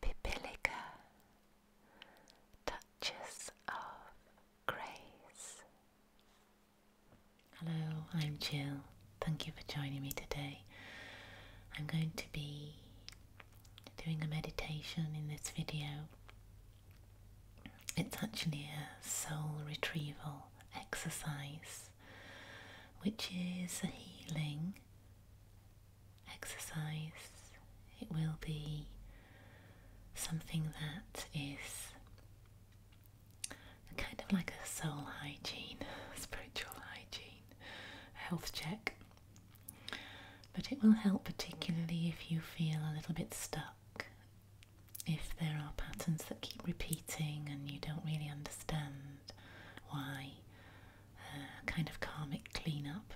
Pipilica, Duchess of Grace. Hello, I'm Jill. Thank you for joining me today. I'm going to be doing a meditation in this video. It's actually a soul retrieval exercise, which is a healing exercise, it will be something that is kind of like a soul hygiene, spiritual hygiene, health check. But it will help, particularly if you feel a little bit stuck, if there are patterns that keep repeating and you don't really understand why kind of karmic cleanup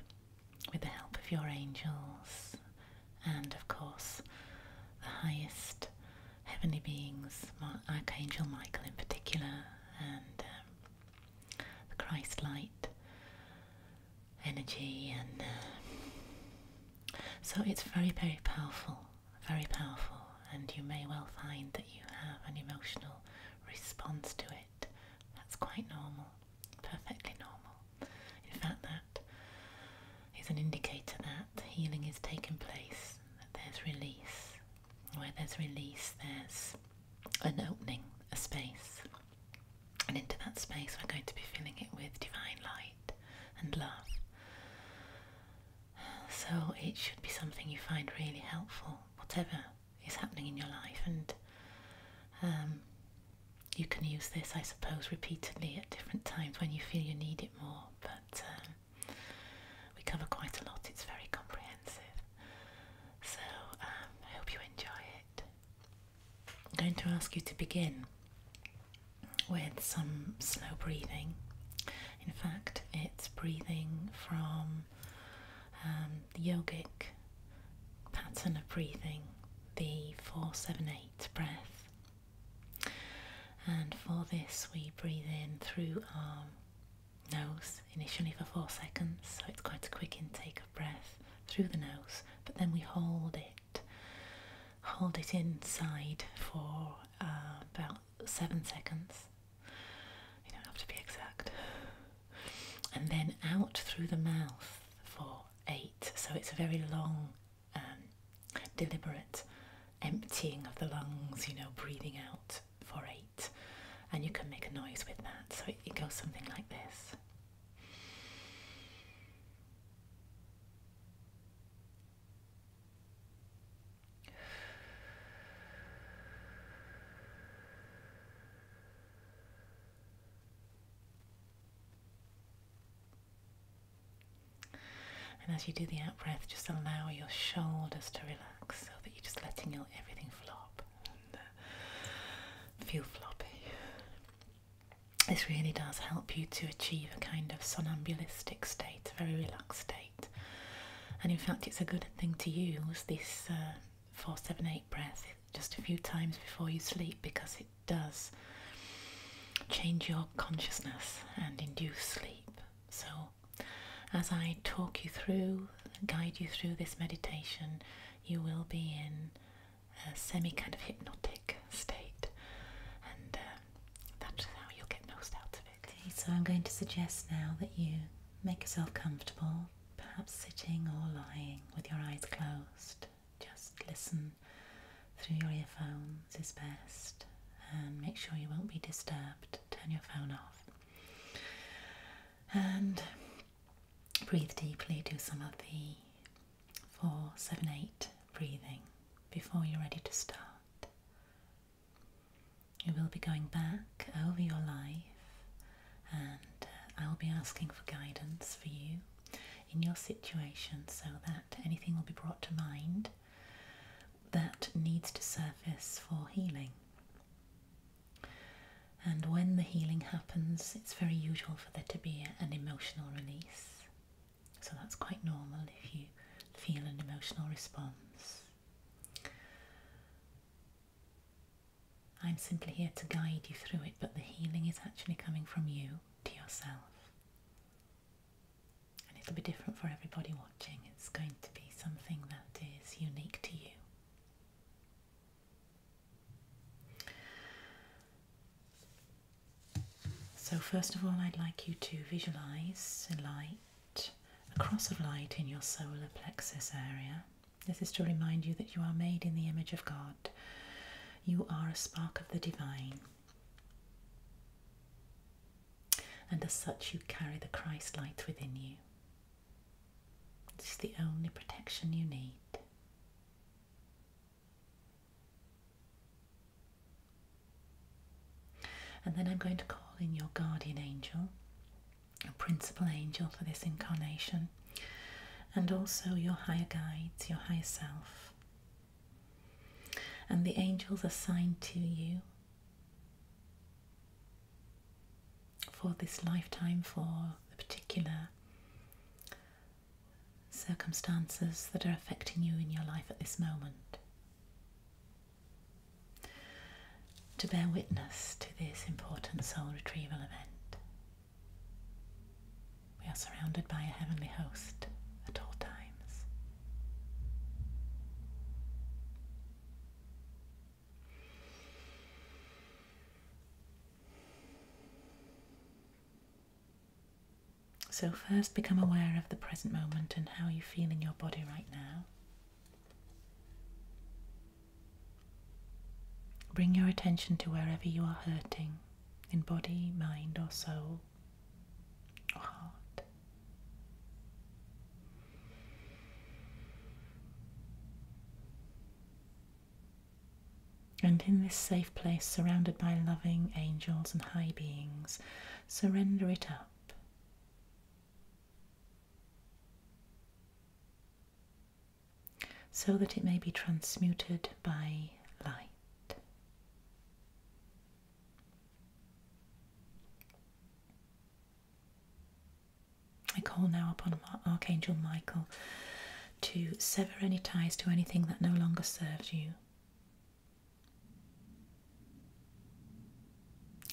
with the help of your angels and, of course, the highest heavenly beings, Archangel Michael in particular, and um, the Christ light energy. And uh, so it's very, very powerful, very powerful. And you may well find that you have an emotional response to it. That's quite normal, perfectly normal. In fact, that is an indicator that healing is taking place, that there's release. Where there's release, there's an opening, a space. And into that space, we're going to be filling it with divine light and love. So it should be something you find really helpful, whatever is happening in your life, and um, you can use this, I suppose, repeatedly at different times when you feel you need it more. But um, we cover quite a lot, it's very comprehensive. So um, I hope you enjoy it. I'm going to ask you to begin with some slow breathing. In fact, it's breathing from um, the yogic pattern of breathing, the 478 breath. And for this, we breathe in through our nose initially for four seconds, so it's quite a quick intake of breath through the nose, but then we hold it, hold it inside for uh, about seven seconds you don't have to be exact. And then out through the mouth for eight. So it's a very long, um, deliberate emptying of the lungs, you know, breathing out for eight. And you can make a noise with that. So it goes something like this. And as you do the out breath, just allow your shoulders to relax so that you're just letting your, everything flop and uh, feel floppy. This really does help you to achieve a kind of somnambulistic state, a very relaxed state. And in fact, it's a good thing to use this uh, four, seven, eight breaths just a few times before you sleep because it does change your consciousness and induce sleep. So, as I talk you through, guide you through this meditation, you will be in a semi kind of hypnotic state, and uh, that's how you'll get most out of it. Okay, so I'm going to suggest now that you make yourself comfortable, perhaps sitting or lying with your eyes closed. Just listen through your earphones is best and make sure you won't be disturbed. Turn your phone off. And breathe deeply, do some of the four, seven, eight breathing before you're ready to start. You will be going back over your life, and I uh, will be asking for guidance for you in your situation so that anything will be brought to mind that needs to surface for healing. And when the healing happens, it's very usual for there to be an emotional release. So that's quite normal if you feel an emotional response. I'm simply here to guide you through it, but the healing is actually coming from you to yourself. And it'll be different for everybody watching. It's going to be something that is unique to you. So, first of all, I'd like you to visualize a light a cross of light in your solar plexus area. This is to remind you that you are made in the image of God. You are a spark of the divine. And as such, you carry the Christ light within you. This is the only protection you need. And then I'm going to call in your guardian angel principal angel for this incarnation, and also your higher guides, your higher self. And the angels assigned to you for this lifetime, for the particular circumstances that are affecting you in your life at this moment to bear witness to this important soul retrieval event. We are surrounded by a heavenly host at all times. So, first become aware of the present moment and how you feel in your body right now. Bring your attention to wherever you are hurting in body, mind, or soul, or heart. And in this safe place, surrounded by loving angels and high beings, surrender it up so that it may be transmuted by light. I call now upon Archangel Michael to sever any ties to anything that no longer serves you.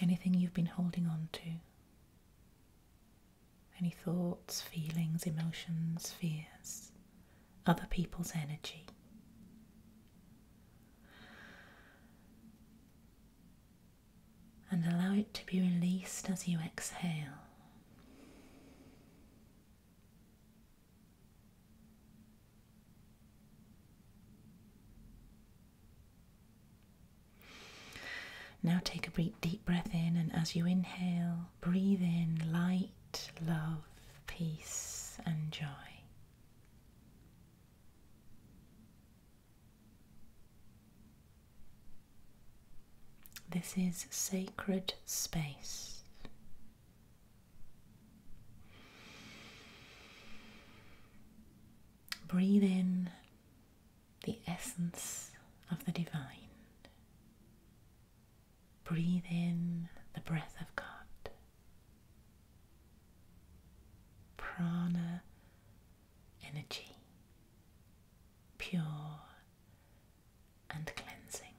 Anything you've been holding on to. Any thoughts, feelings, emotions, fears, other people's energy. And allow it to be released as you exhale. Now take a deep, breath in, and as you inhale, breathe in light, love, peace, and joy. This is sacred space. Breathe in the essence of the divine. Breathe in the breath of God. Prana energy, pure and cleansing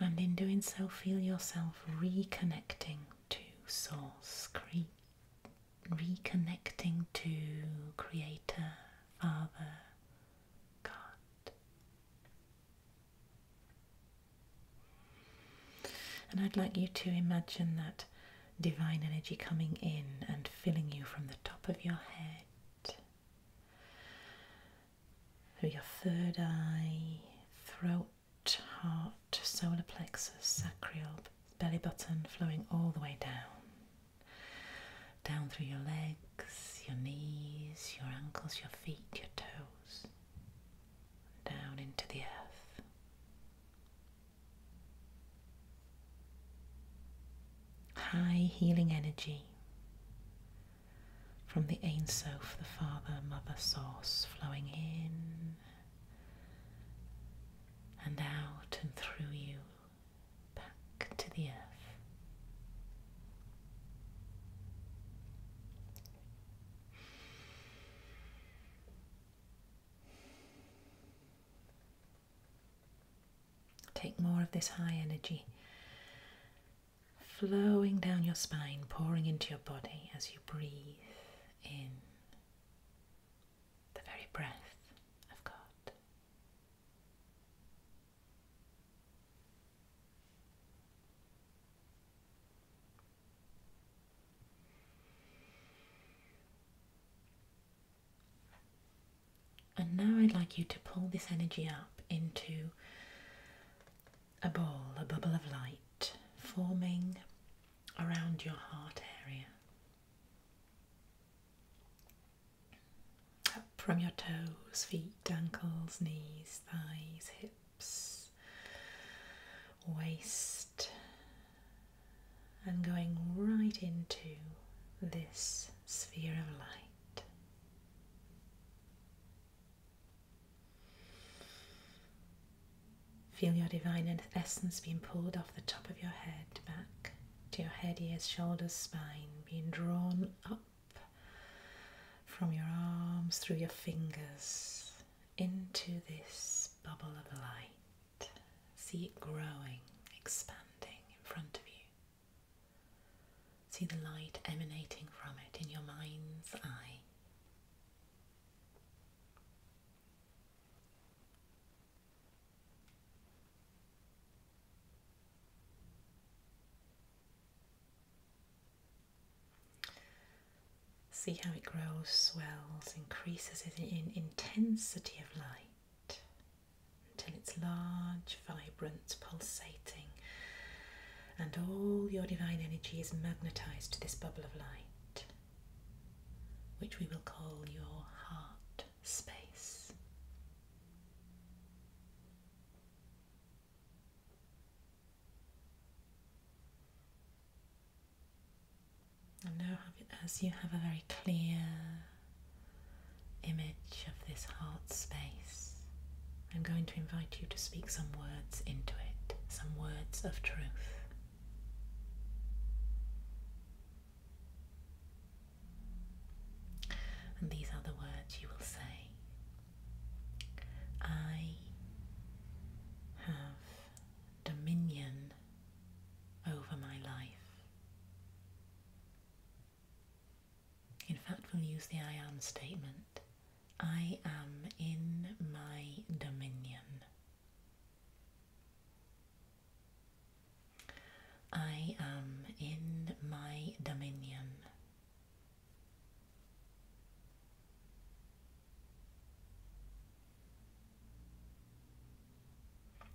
and in doing so, feel yourself reconnecting to Source, reconnecting to Creator, Father, God. And I'd like you to imagine that divine energy coming in and filling you from the top of your head through your third eye, throat, heart, solar plexus, sacral, belly button, flowing all the way down. Down through your legs, your knees, your ankles, your feet, your toes. Down into the earth high healing energy from the Ein Sof, the Father, Mother Source, flowing in and out and through you back to the earth. Take more of this high energy flowing down your spine, pouring into your body as you breathe in the very breath of God. And now I'd like you to pull this energy up into a ball, a bubble of light, forming around your heart area. from your toes, feet, ankles, knees, thighs, hips, waist, and going right into this sphere of light. Feel your divine essence being pulled off the top of your head back to your head, ears, shoulders, spine, being drawn up from your arms through your fingers into this bubble of light. See it growing, expanding in front of you. See the light emanating from it in your mind's eye. See how it grows, swells, increases in intensity of light until it's large, vibrant, pulsating, and all your divine energy is magnetized to this bubble of light, which we will call your heart space. And now as you have a very clear image of this heart space, I'm going to invite you to speak some words into it, some words of truth. And these are the words you will say. I have dominion over my life. In fact, we'll use the I am statement. I am in my dominion. I am in my dominion.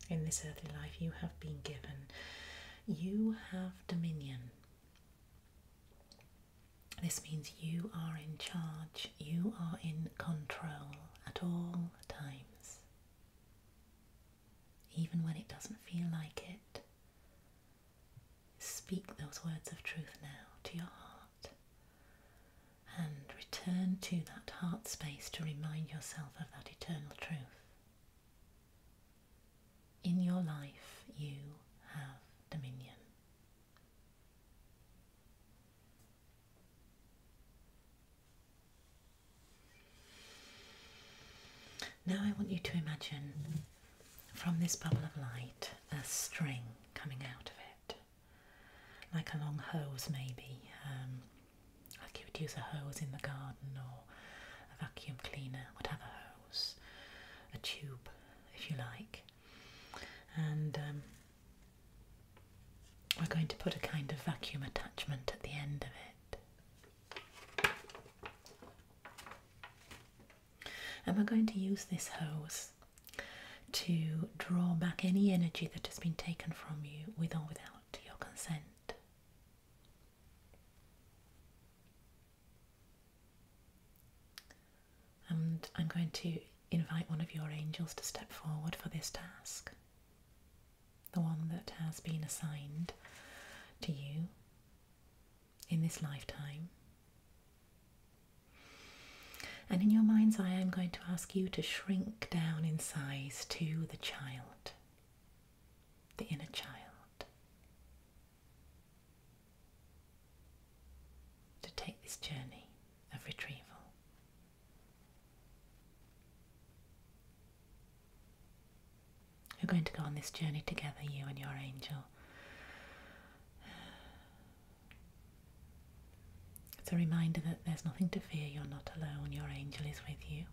In this earthly life, you have been given you have dominion. This means you are in charge, you are in control at all times. Even when it doesn't feel like it, speak those words of truth now to your heart and return to that heart space to remind yourself of that eternal truth. In your life, you have dominion. Now, I want you to imagine from this bubble of light a string coming out of it, like a long hose, maybe. Um, like you would use a hose in the garden or a vacuum cleaner whatever hose, a tube if you like. And um, we're going to put a kind of vacuum attachment at the end of it. Am I going to use this hose to draw back any energy that has been taken from you with or without your consent. And I'm going to invite one of your angels to step forward for this task, the one that has been assigned to you in this lifetime. And in your mind's eye, I'm going to ask you to shrink down in size to the child the inner child, to take this journey of retrieval. You're going to go on this journey together, you and your angel. It's a reminder that there's nothing to fear, you're not alone, your angel is with you.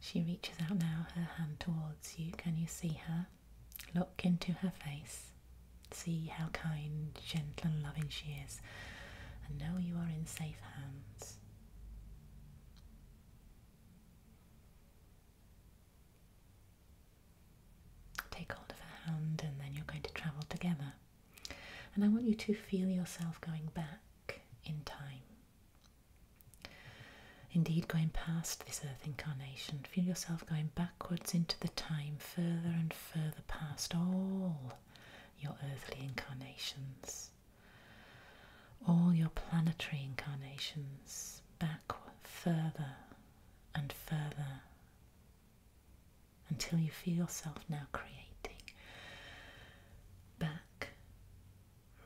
She reaches out now, her hand towards you. Can you see her? Look into her face. See how kind, gentle, and loving she is. And know you are in safe hands. Take hold of her hand, and then you're going to travel together. And I want you to feel yourself going back in time. Indeed, going past this earth incarnation, feel yourself going backwards into the time, further and further past all your earthly incarnations, all your planetary incarnations, back further and further until you feel yourself now creating back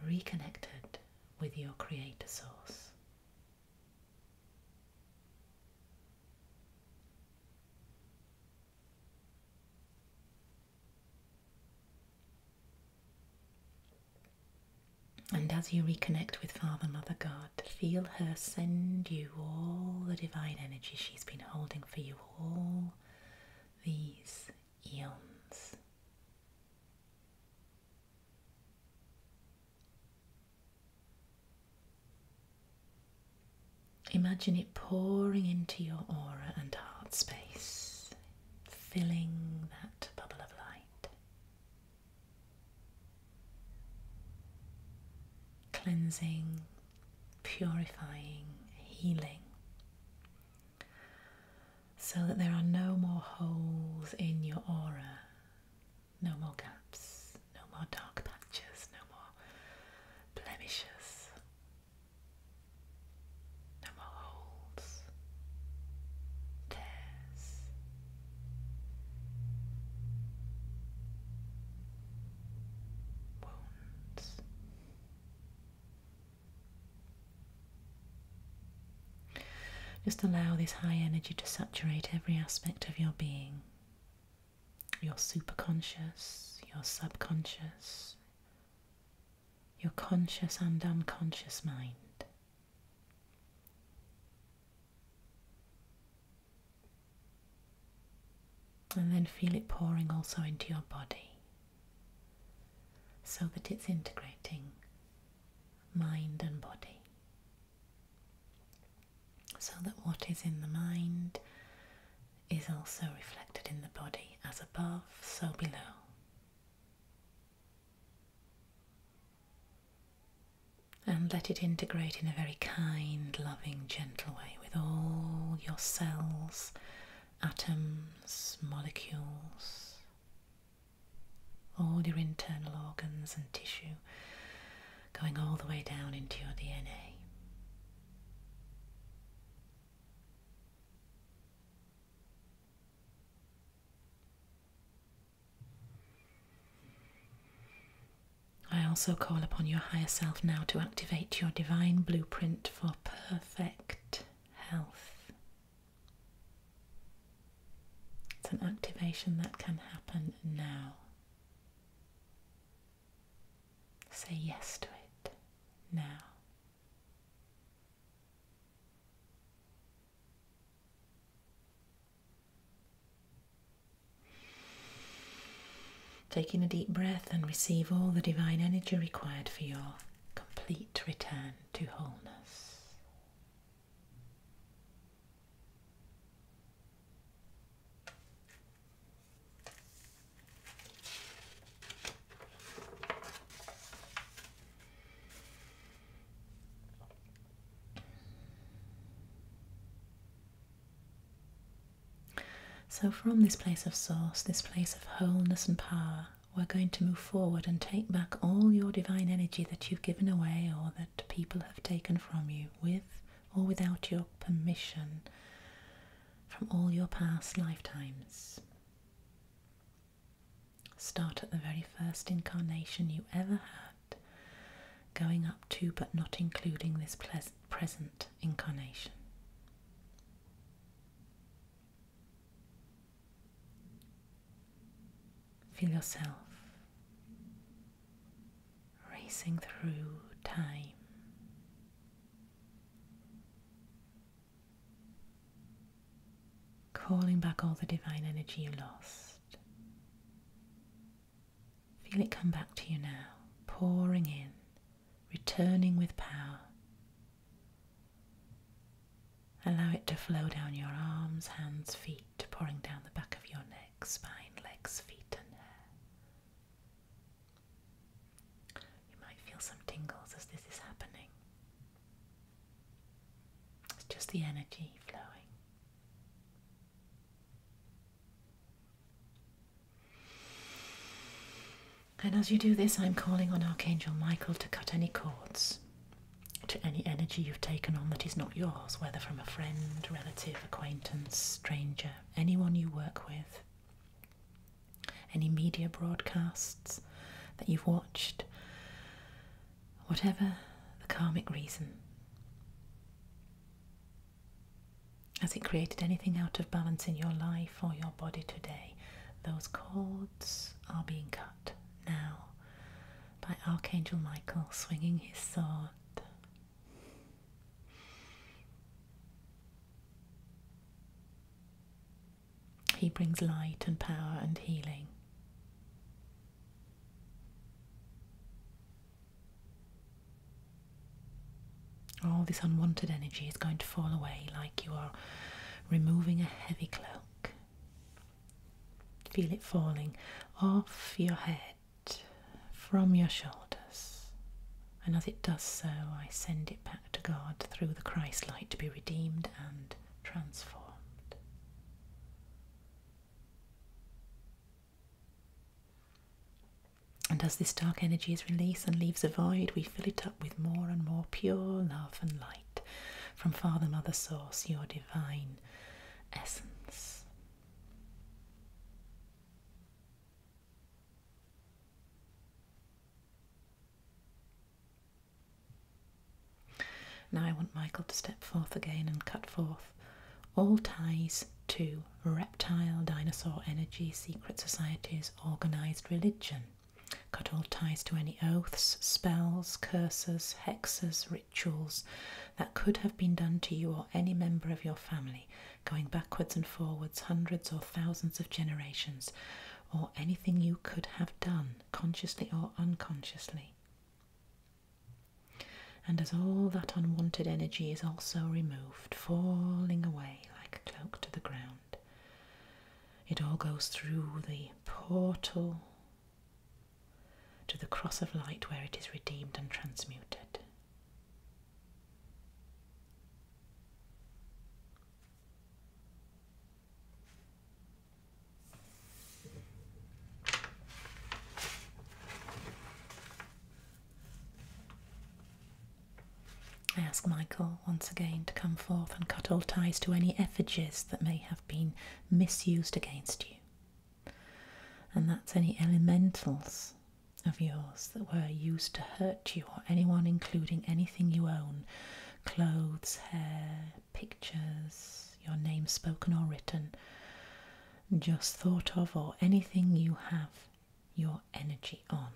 reconnected with your creator source. And as you reconnect with Father, Mother, God, feel her send you all the divine energy she's been holding for you all these eons. Imagine it pouring into your aura and heart space, filling that bubble of light, cleansing, purifying, healing so that there are no more holes in your aura, no more gaps, no more dark patches, no more blemishes, no more holes, tears. Wounds. Just allow this high energy to saturate every aspect of your being your superconscious, your subconscious, your conscious and unconscious mind. And then feel it pouring also into your body so that it's integrating mind and body. So that what is in the mind is also reflected in the body, as above, so below. And let it integrate in a very kind, loving, gentle way with all your cells atoms, molecules, all your internal organs and tissue, going all the way down into your DNA. I also call upon your higher self now to activate your divine blueprint for perfect health. It's an activation that can happen now. Say yes to it now. Taking a deep breath and receive all the divine energy required for your complete return to wholeness. So, from this place of source, this place of wholeness and power, we're going to move forward and take back all your divine energy that you've given away or that people have taken from you with or without your permission from all your past lifetimes. Start at the very first incarnation you ever had, going up to but not including this present incarnation. Feel yourself racing through time. Calling back all the divine energy you lost. Feel it come back to you now, pouring in returning with power. Allow it to flow down your arms, hands, feet, pouring down the back of your neck, spine, legs, feet, and hair. You might feel some tingles as this is happening. It's just the energy flowing. And as you do this, I'm calling on Archangel Michael to cut any cords to any energy you've taken on that is not yours, whether from a friend, relative, acquaintance, stranger, anyone you work with, any media broadcasts that you've watched, whatever the karmic reason. Has it created anything out of balance in your life or your body today? Those cords are being cut now by Archangel Michael swinging his sword. He brings light and power and healing. All this unwanted energy is going to fall away like you are removing a heavy cloak. Feel it falling off your head, from your shoulders. And as it does so, I send it back to God through the Christ light to be redeemed and transformed. And as this dark energy is released and leaves a void, we fill it up with more and more pure love and light from Father, Mother, Source, your divine essence. Now I want Michael to step forth again and cut forth all ties to reptile dinosaur energy, secret societies, organised religion, Cut all ties to any oaths, spells, curses, hexes, rituals that could have been done to you or any member of your family, going backwards and forwards hundreds or thousands of generations, or anything you could have done, consciously or unconsciously. And as all that unwanted energy is also removed, falling away like a cloak to the ground. It all goes through the portal to the cross of light where it is redeemed and transmuted. I ask Michael once again to come forth and cut all ties to any effigies that may have been misused against you. And that's any elementals of yours that were used to hurt you or anyone, including anything you own clothes, hair, pictures, your name spoken or written, just thought of, or anything you have your energy on.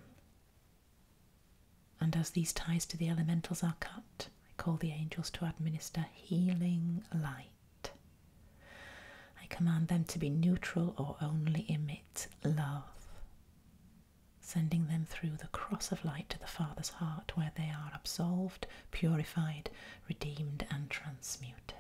And as these ties to the elementals are cut, I call the angels to administer healing light. I command them to be neutral or only emit love, sending them through the cross of light to the Father's heart, where they are absolved, purified, redeemed, and transmuted.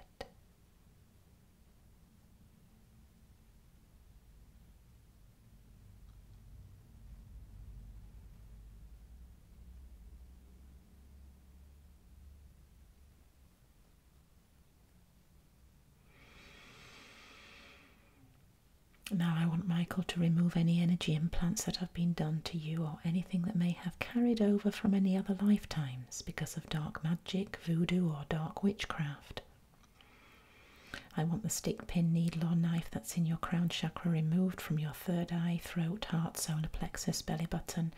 Now, I want Michael to remove any energy implants that have been done to you or anything that may have carried over from any other lifetimes because of dark magic, voodoo, or dark witchcraft, I want the stick, pin, needle, or knife that's in your crown chakra removed from your third eye, throat, heart, solar plexus, belly button,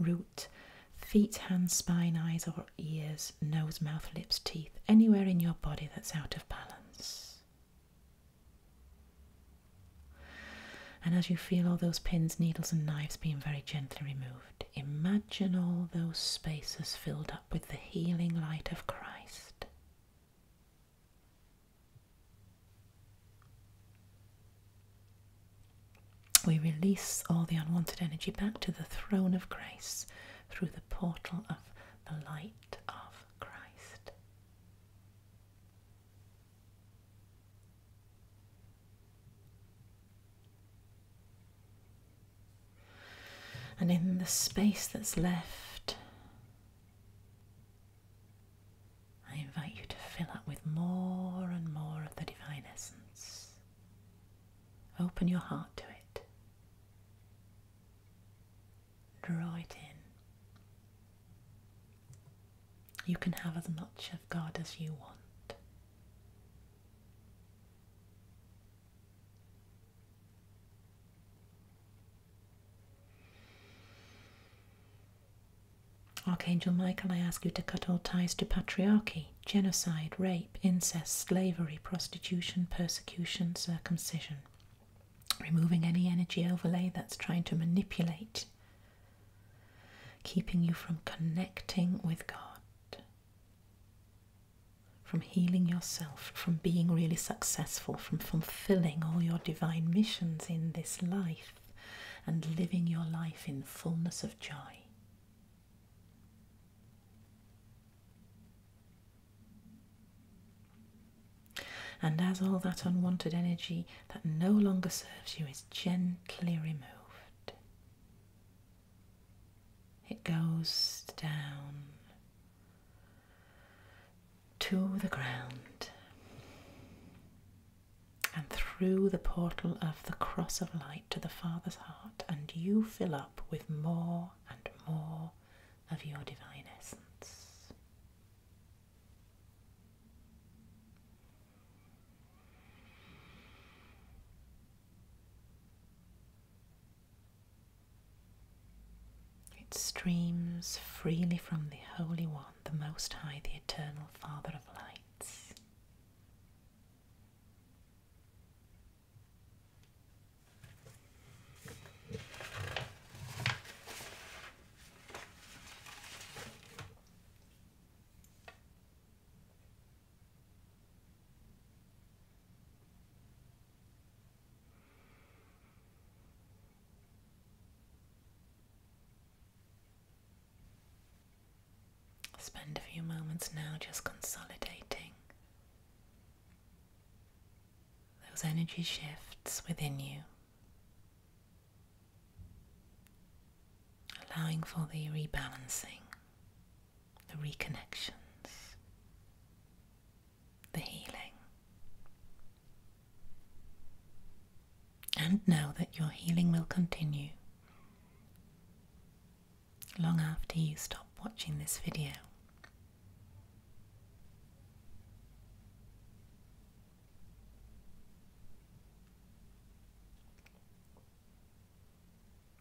root, feet, hands, spine, eyes, or ears, nose, mouth, lips, teeth, anywhere in your body that's out of balance. And as you feel all those pins, needles, and knives being very gently removed, imagine all those spaces filled up with the healing light of Christ. We release all the unwanted energy back to the throne of grace through the portal of the light of Christ. And in the space that's left, I invite you to fill up with more and more of the divine essence. Open your heart to it. Draw it in. You can have as much of God as you want. Archangel Michael, I ask you to cut all ties to patriarchy, genocide, rape, incest, slavery, prostitution, persecution, circumcision. Removing any energy overlay that's trying to manipulate, keeping you from connecting with God from healing yourself, from being really successful, from fulfilling all your divine missions in this life and living your life in fullness of joy. And as all that unwanted energy that no longer serves you is gently removed, it goes down to the ground and through the portal of the cross of light to the Father's heart, and you fill up with more and more of your divine essence. It streams freely from the Holy One, the Most High, the Eternal Father of Lights. Spend a few moments now just consolidating those energy shifts within you, allowing for the rebalancing the reconnections, the healing. And know that your healing will continue long after you stop watching this video.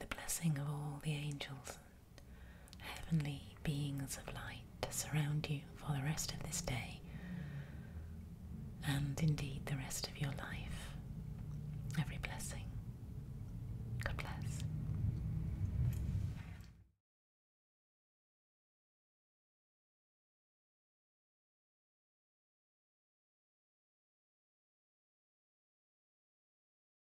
the blessing of all the angels and heavenly beings of light surround you for the rest of this day and indeed the rest of your life. Every blessing. God bless.